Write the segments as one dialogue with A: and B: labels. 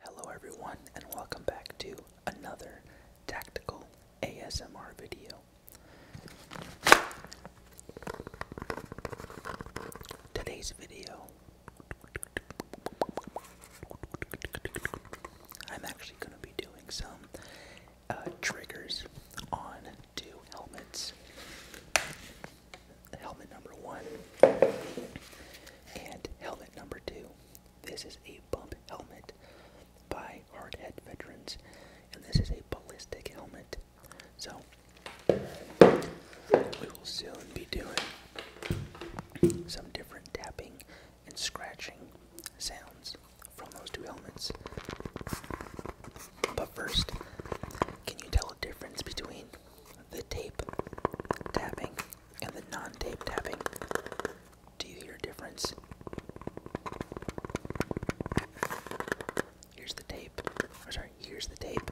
A: Hello, everyone, and welcome back to another tactical ASMR video. Today's video, I'm actually going to be doing some uh, triggers on two helmets. Helmet number one and helmet number two. This is a bump helmet by Hard Head Veterans, and this is a ballistic helmet. So we will soon be doing some different tapping and scratching sounds from those two elements. But first, can you tell a difference between the tape tapping and the non-tape tapping? Do you hear a difference? Here's the tape. sorry, here's the tape.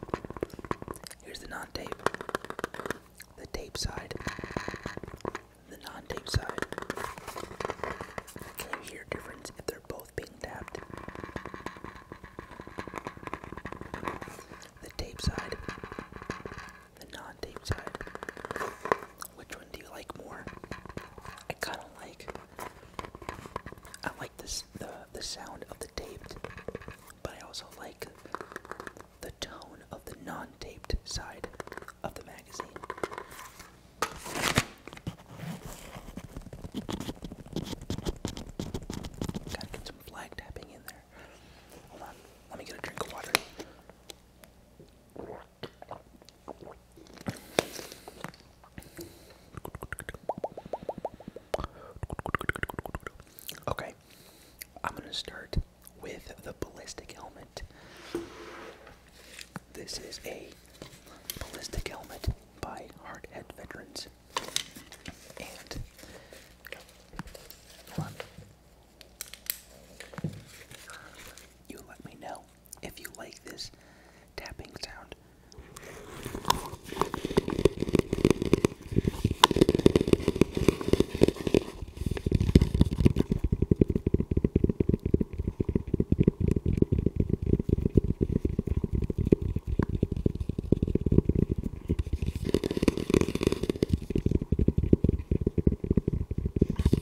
A: Here's the non-tape. The tape side. The non-tape side. Can you hear a difference if they're both being tapped? The tape side. The non-tape side. Which one do you like more? I kind of like. I the the sound of the taped, but I also like the tone of the non-taped side of the magazine. Gotta get some flag tapping in there. Hold on, let me get a drink of water. Okay, I'm gonna start with the ballistic helmet. This is a ballistic helmet by Hardhead Veterans. And hold you let me know if you like this tapping sound,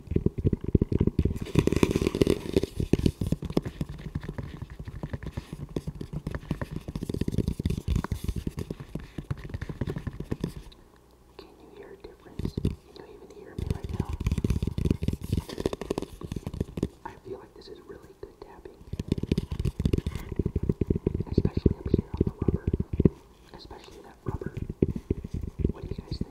A: Can you hear a difference? Can you even hear me right now? I feel like this is really good tapping. Especially up here on the rubber. Especially that that rubber. What do you guys think?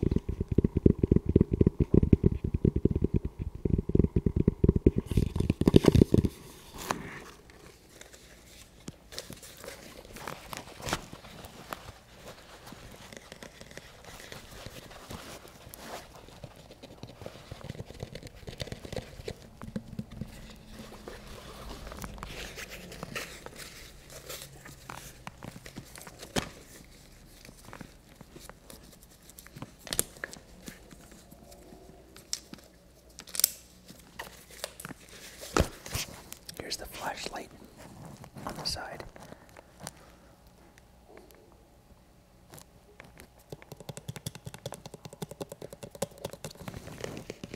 A: Here's the flashlight on the side.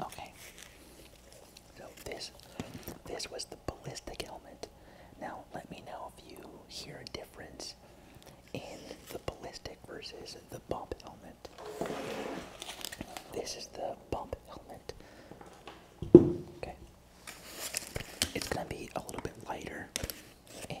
A: Okay. So this this was the ballistic helmet now, let me know if you hear a difference in the ballistic versus the bump helmet. This is the bump helmet. Okay. It's going to be a little bit lighter and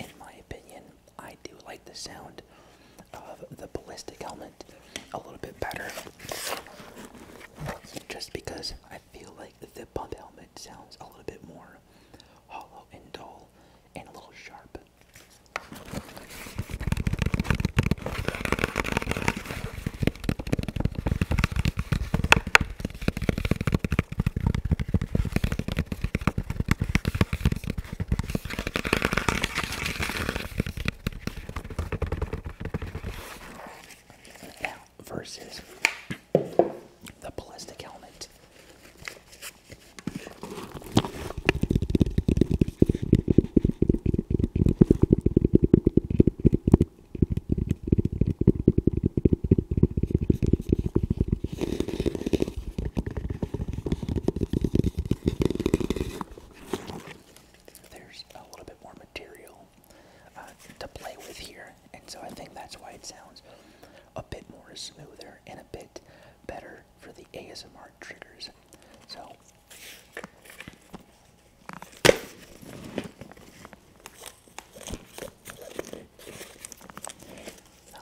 A: In my opinion, I do like the sound of the ballistic helmet a little bit better. Just because I feel like the pump helmet sounds a little bit more hollow and dull and a little sharp. Now, versus the ballistic helmet. There's a little bit more material uh, to play with here, and so I think that's why it sounds a bit more smoother and a bit better for the ASMR triggers. So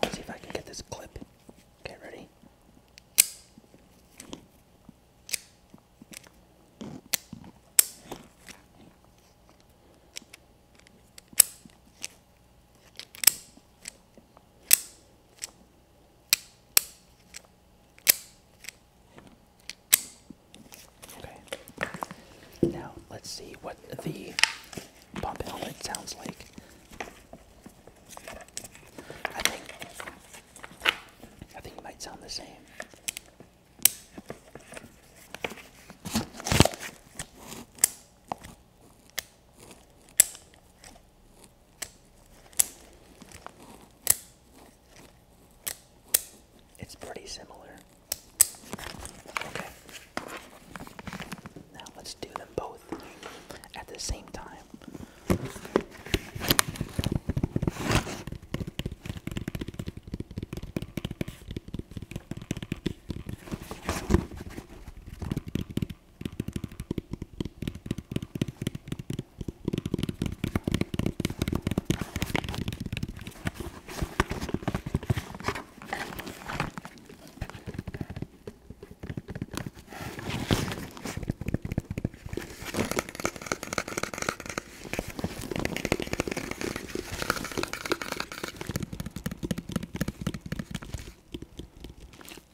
A: let's see if I can get this clip. Okay, ready? Okay. Now let's see what the pump helmet sounds like. I think I think it might sound the same. It's pretty similar. Okay. Now let's do them both at the same time.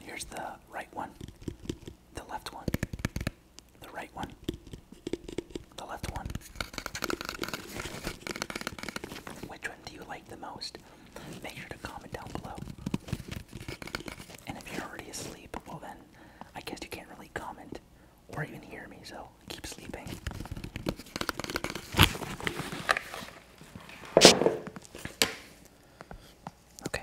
A: Here's the right one, the left one, the right one, the left one. Which one do you like the most? Make sure to comment down below. And if you're already asleep, well then, I guess you can't really comment or even hear me, so keep sleeping. Okay.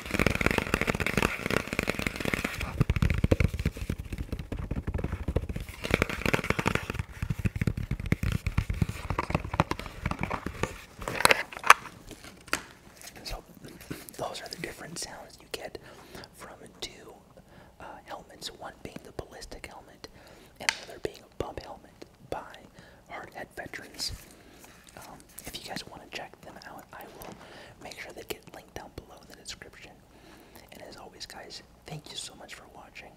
A: So, those are the different sounds you get from two uh, helmets one being the ballistic helmet, and the other being a bump helmet by hard hat veterans. Um, if you guys want to check them out, I will make sure they get linked down below in the description. And as always, guys, thank you so much for watching.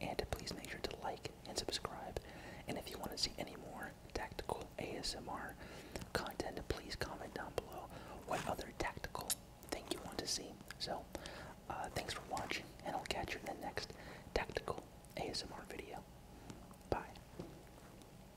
A: And please make sure to like and subscribe. And if you want to see any more tactical ASMR content, please comment down below what other tactical thing you want to see. So, uh, thanks for watching, and I'll catch you in the next tactical ASMR video. Bye.